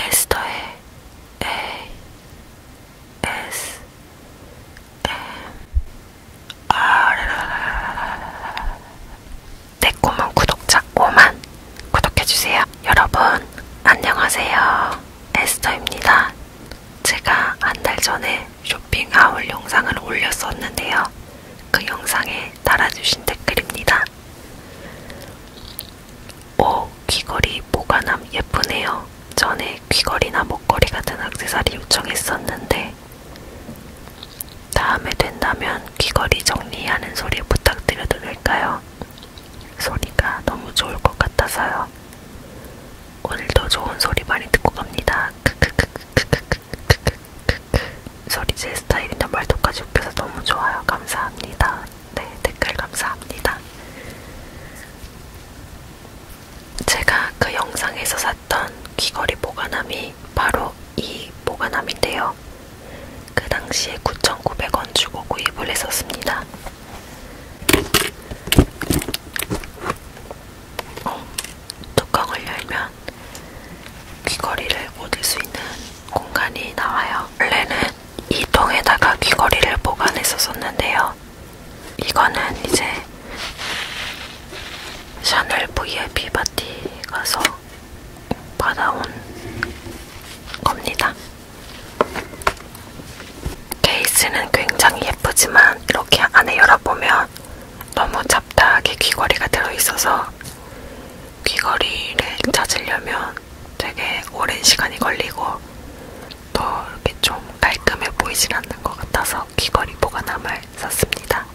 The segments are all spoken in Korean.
에스터의 A S M R 내 네, 꿈은 구독자 5만 구독해주세요. 여러분 안녕하세요. 에스터입니다. 제가 한 달 전에 쇼핑 하울 영상을 올렸었는데요. 그 영상에 달아주신 댓글입니다. 오, 귀걸이 보관함 예쁘네요. 전에 귀걸이나 목걸이 같은 악세사리 요청했었는데 다음에 된다면 귀걸이 정리하는 소리 부탁드려도 될까요? 소리가 너무 좋을 것 같아서요. 오늘도 좋은 소리 많이 듣고 갑니다. 크크크크크크크크크크크 소리 제 스타일이나 말도까지 웃겨서 너무 좋아요. 감사합니다. 네, 댓글 감사합니다. 제가 그 영상에서 샀던 귀걸이 보관함이 바로 이 보관함인데요. 그 당시에 9,900원 주고 구입을 했었습니다. 어, 뚜껑을 열면 귀걸이를 꽂을 수 있는 공간이 나와요. 원래는 이 통에다가 귀걸이를 보관했었었는데요. 이거는 이제 샤넬 VIP 파티 가서 받아온 겁니다. 케이스는 굉장히 예쁘지만 이렇게 안에 열어보면 너무 잡다하게 귀걸이가 들어있어서 귀걸이를 찾으려면 되게 오랜 시간이 걸리고 더 이렇게 좀 깔끔해 보이진 않는 것 같아서 귀걸이 보관함을 썼습니다.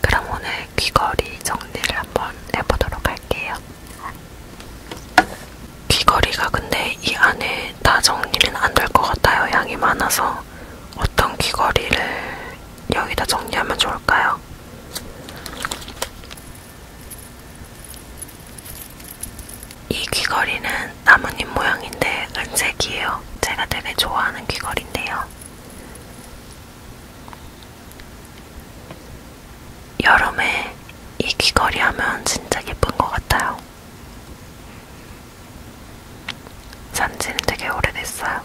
그럼 오늘 귀걸이 정리를 한번 해보도록 할게요. 귀걸이가 근데 이 안에 다 정리는 안 될 것 같아요. 양이 많아서 어떤 귀걸이를 여기다 정리하면 좋을까요? 이 귀걸이는 나뭇잎 모양인데 은색이에요. 제가 되게 좋아하는 귀걸인데요. 여름에 이 귀걸이 하면 진짜 예쁜 것 같아요. 산지는 되게 오래됐어요.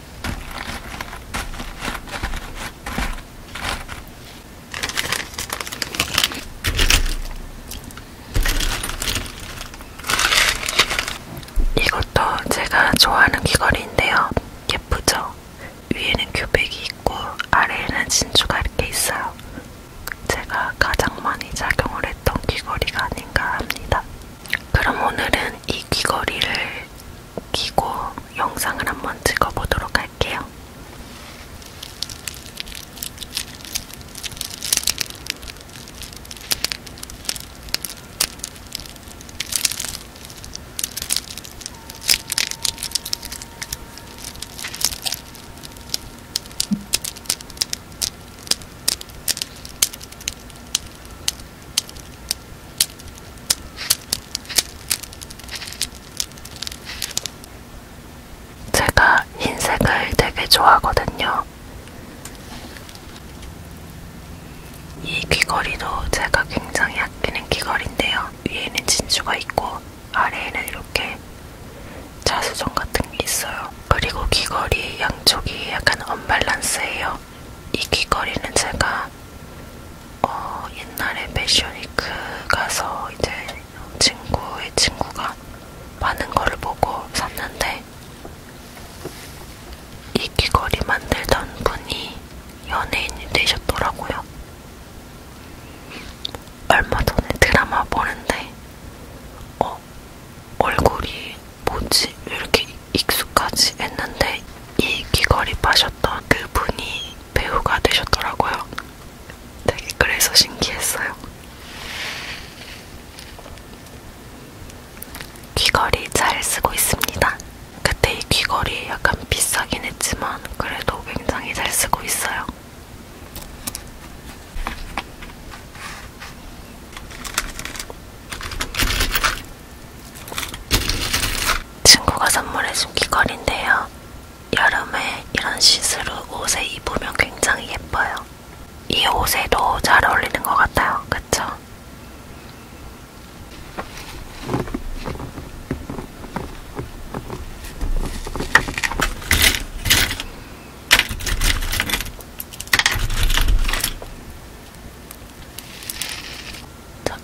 이것도 제가 좋아하는 귀걸이인데요. 예쁘죠? 위에는 규백이 있고 아래에는 진주가 이렇게 있어요. 제가 가장 많이 작용을 했던 귀걸이가 아닌가 합니다. 그럼 오늘은 이 귀걸이를 끼고 영상을 한번 찍어보도록 할게요. 제가 흰색을 되게 좋아하거든요. 이 귀걸이도 제가 굉장히 아끼는 귀걸인데요. 위에는 진주가 있고 아래에는 이렇게 자수정 같은 게 있어요. 그리고 귀걸이 양쪽이 약간 언밸런스예요. 이 귀걸이는 제가 어, 옛날에 패션위크 가서 이제 친구의 친구가 많은 거를 보고 샀는데 이 귀걸이 만들던 분이 연예인이 되셨더라고요. 얼마 전에 드라마 보는데 어, 얼굴이 뭐지? 왜 이렇게 익숙하지 했는데 이 귀걸이 파셨던 그 분이 배우가 되셨더라고요. 되게 그래서 신기했어요. 귀걸이 잘 쓰고 있습니다. 그때 이 귀걸이 약간 비싸긴 했지만 그래도 굉장히 잘 쓰고 있어요. 친구가 선물해준 귀걸인데요. 여름에 이런 시스루 옷에 입으면 굉장히 예뻐요. 이 옷에도 잘 어울리는 것 같아요. 그쵸?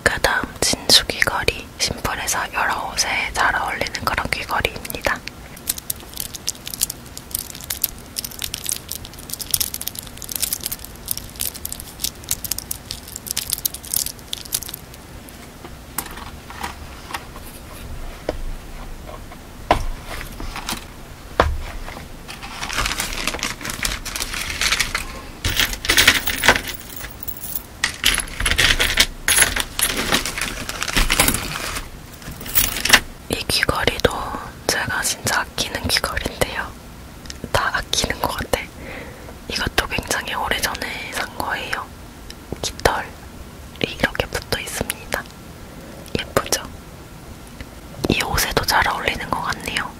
그 다음 진주 귀걸이 심플해서 여러 옷에 잘 어울리는 그런 귀걸이입니다. 이 귀걸이도 제가 진짜 아끼는 귀걸인데요. 다 아끼는 것 같아. 이것도 굉장히 오래전에 산 거예요. 깃털이 이렇게 붙어 있습니다. 예쁘죠? 이 옷에도 잘 어울리는 것 같네요.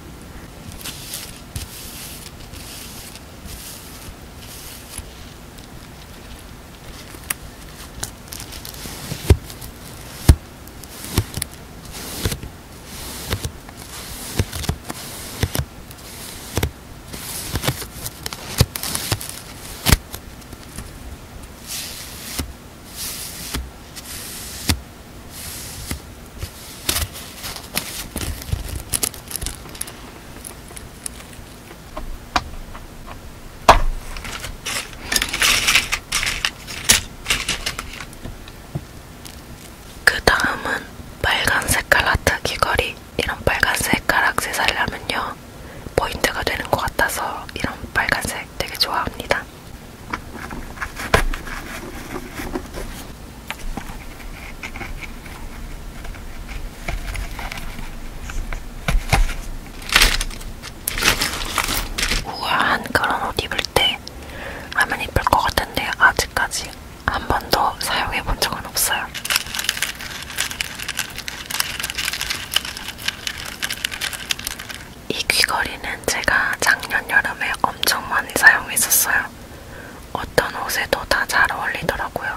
그 다음은 빨간 색깔 하트 귀걸이. 이런 빨간색 가락세 살려면요 포인트가 되는 것 같아서 이런 빨간색 되게 좋아합니다. 우아한 그런 옷 입을 때 라면 입을 것 같은데 아직까지 한 번도 사용해 본 적은 없어요. 이 귀걸이는 제가 작년 여름에 엄청 많이 사용했었어요. 어떤 옷에도 다 잘 어울리더라고요.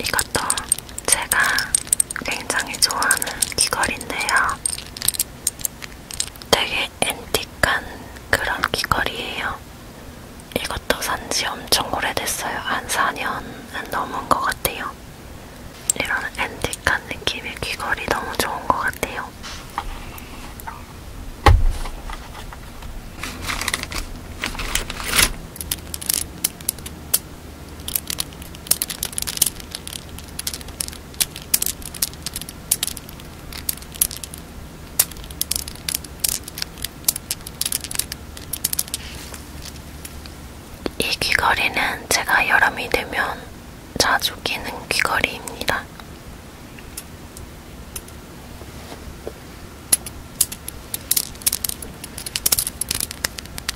이건 있었던 제가 굉장히 좋아하는 귀걸인데요. 되게 앤틱한 그런 귀걸이에요. 이것도 산지 엄청 오래됐어요. 한 4년은 넘은 것 같아요. 이런 앤틱한 느낌의 귀걸이 너무 좋은 것 같아요. 이 귀걸이는 제가 여름이 되면 자주 끼는 귀걸이입니다.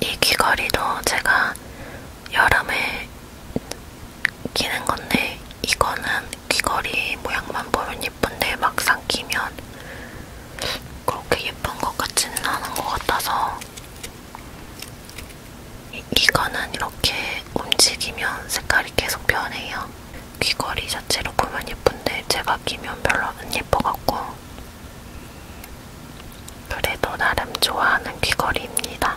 이 귀걸이도 제가 여름에 끼는 건데 이거는 귀걸이 모양만 보면 예쁜데 막상 끼면 그렇게 예쁜 것 같지는 않은 것 같아서 이거는 이렇게 움직이면 색깔이 계속 변해요. 귀걸이 자체로 보면 예쁜데 제가 끼면 별로 안 예뻐갖고 그래도 나름 좋아하는 귀걸이입니다.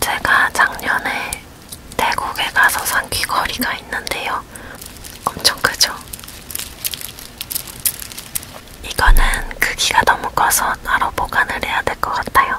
제가 작년에 태국에 가서 산 귀걸이가 있는데요. 엄청 크죠? 이거는 크기가 너무 커서 따로 보관을 해야 될 것 같아요.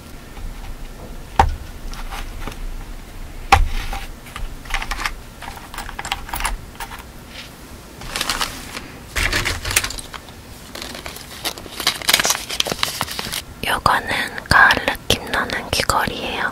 요거는 가을 느낌 나는 귀걸이에요.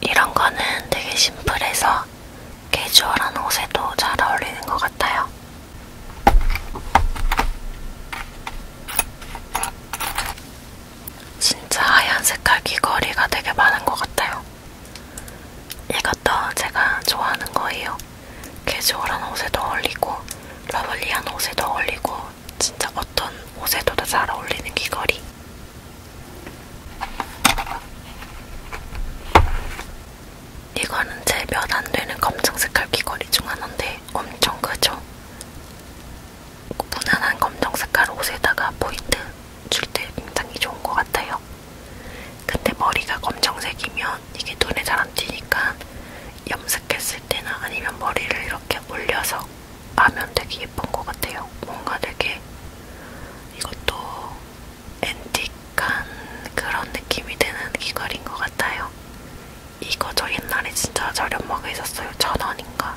이런 거는 되게 심플해서 캐주얼한 옷에도 잘 어울리는 것 같아요. 진짜 하얀 색깔 귀걸이가 되게 많은 것 같아요. 이것도 제가 좋아하는 거예요. 캐주얼한 옷에도 어울리고 러블리한 옷에도 어울리고 진짜 어떤 옷에도 잘 어울리는 귀걸이. 이거는 제몇안 되는 검정 색깔 귀걸이 중 하나인데 엄청 크죠? 무난한 검정 색깔 옷에다가 포인트 줄 때 굉장히 좋은 것 같아요. 근데 머리가 검정색이면 이게 눈에 잘 안 띄니까 염색 염색했을 때나 아니면 머리를 이렇게 올려서 하면 되게 예쁜 것 같아요. 뭔가 되게 이것도 앤틱한 그런 느낌이 드는 귀걸인 것 같아요. 이거 저 옛날에 진짜 저렴하게 있었어요. 천 원인가.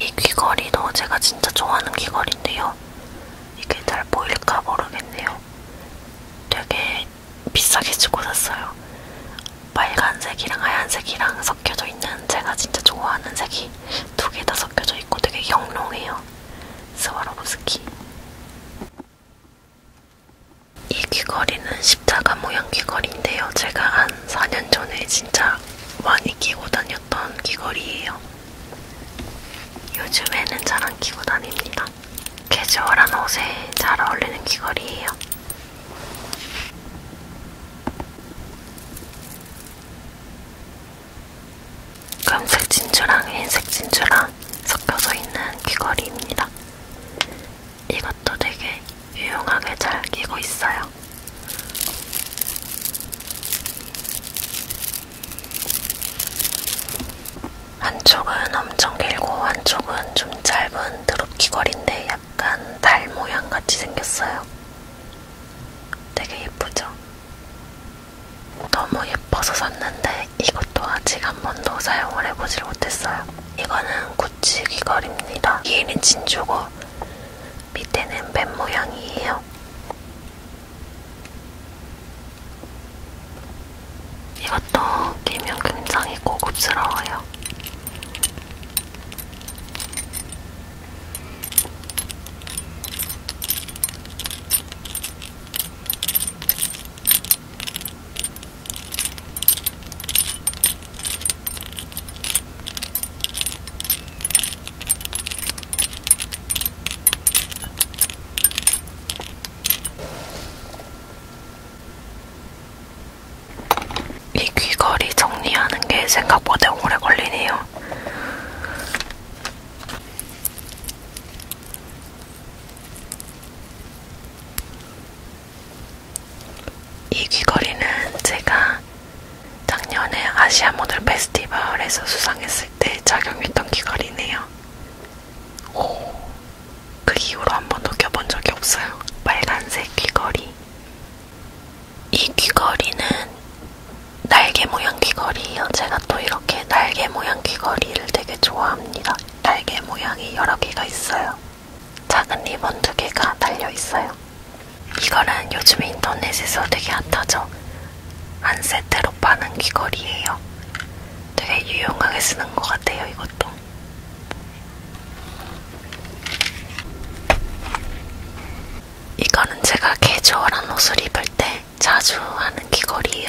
이 귀걸이도 제가 진짜 좋아하는 귀걸인데요. 이게 잘 보일까 모르겠네요. 되게 비싸게 주고 샀어요. 빨간색이랑 하얀색이랑 섞여져 있는 제가 진짜 좋아하는 색이 두 개 다 섞여져 있고 되게 영롱해요. 스와로브스키 이 귀걸이는 십자가 모양 귀걸이인데요. 제가 한 4년 전에 진짜 많이 끼고 다녔던 귀걸이에요. 요즘에는 잘 안 끼고 다닙니다. 캐주얼한 옷에 잘 어울리는 귀걸이에요. 검색 진주랑 흰색 진주랑 섞여서 있는 귀걸이입니다. 이것도 되게 유용하게 잘 끼고 있어요. 한쪽은 엄청 길고 한쪽은 좀 짧은 드롭 귀걸인데 약간 달 모양 같이 생겼어요. 되게 예쁘죠? 너무 예뻐서 샀는데 이것도 아직 한 번도 사용을 해보질 못했어요. 이거는 구찌 귀걸이입니다. 위에는 진주고 밑에는 뱀 모양이에요. 이것도 끼면 굉장히 고급스러워요. 이 귀걸이 정리하는 게 생각보다 오래 걸리네요. 이 귀걸이는 제가 작년에 아시아 모델 페스티벌에서 수상했을 때 착용했던 귀걸이네요. 오, 그 이후로 한번도 껴본 적이 없어요. 빨간색 귀걸이. 이 귀걸이는 날개 모양 귀걸이에요. 제가 또 이렇게 날개 모양 귀걸이를 되게 좋아합니다. 날개 모양이 여러 개가 있어요. 작은 리본 두 개가 달려 있어요. 이거는 요즘에 인터넷에서 되게 핫하죠. 한 세트로 파는 귀걸이에요. 되게 유용하게 쓰는 것 같아요. 이것도. 이거는 제가 캐주얼한 옷을 입을 때 자주 하는 귀걸이에요.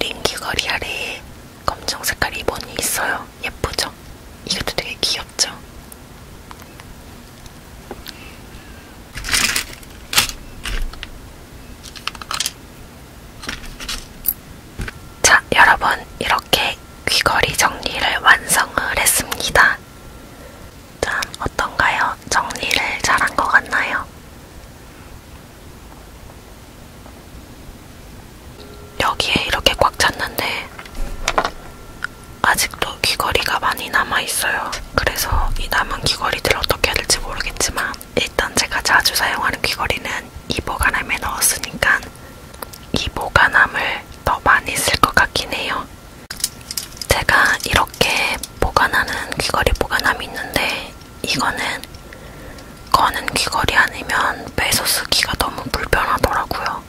링 귀걸이 아래에 검정 색깔 리본이 있어요. 예쁘죠? 이것도 되게 귀엽죠? 자, 여러분, 이렇게 귀걸이 정리를 완성을 했습니다. 짠, 어떤가요? 정리를 잘한 것 같나요? 여기에 이렇게 꽉 찼는데 아직도 귀걸이가 많이 남아있어요. 그래서 이 남은 귀걸이들 어떻게 해야 될지 모르겠지만 일단 제가 자주 사용하는 귀걸이는 이 보관함에 넣었으니까 이 보관함을 더 많이 쓸 것 같긴 해요. 제가 이렇게 보관하는 귀걸이 보관함이 있는데 이거는 거는 귀걸이 아니면 빼서 쓰기가 너무 불편하더라고요.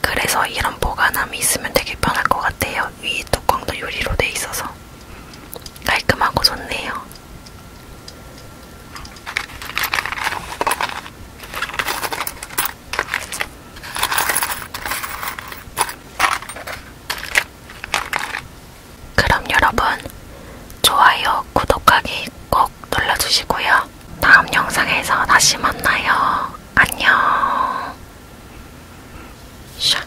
그래서 이런 보관함이 있으면 되게 편할 것 같아요. 위 뚜껑도 유리로 돼 있어서 깔끔하고 좋네요. 그럼 여러분 좋아요, 구독하기 꼭 눌러주시고요. 다음 영상에서 다시 만나요. 안녕. 샤.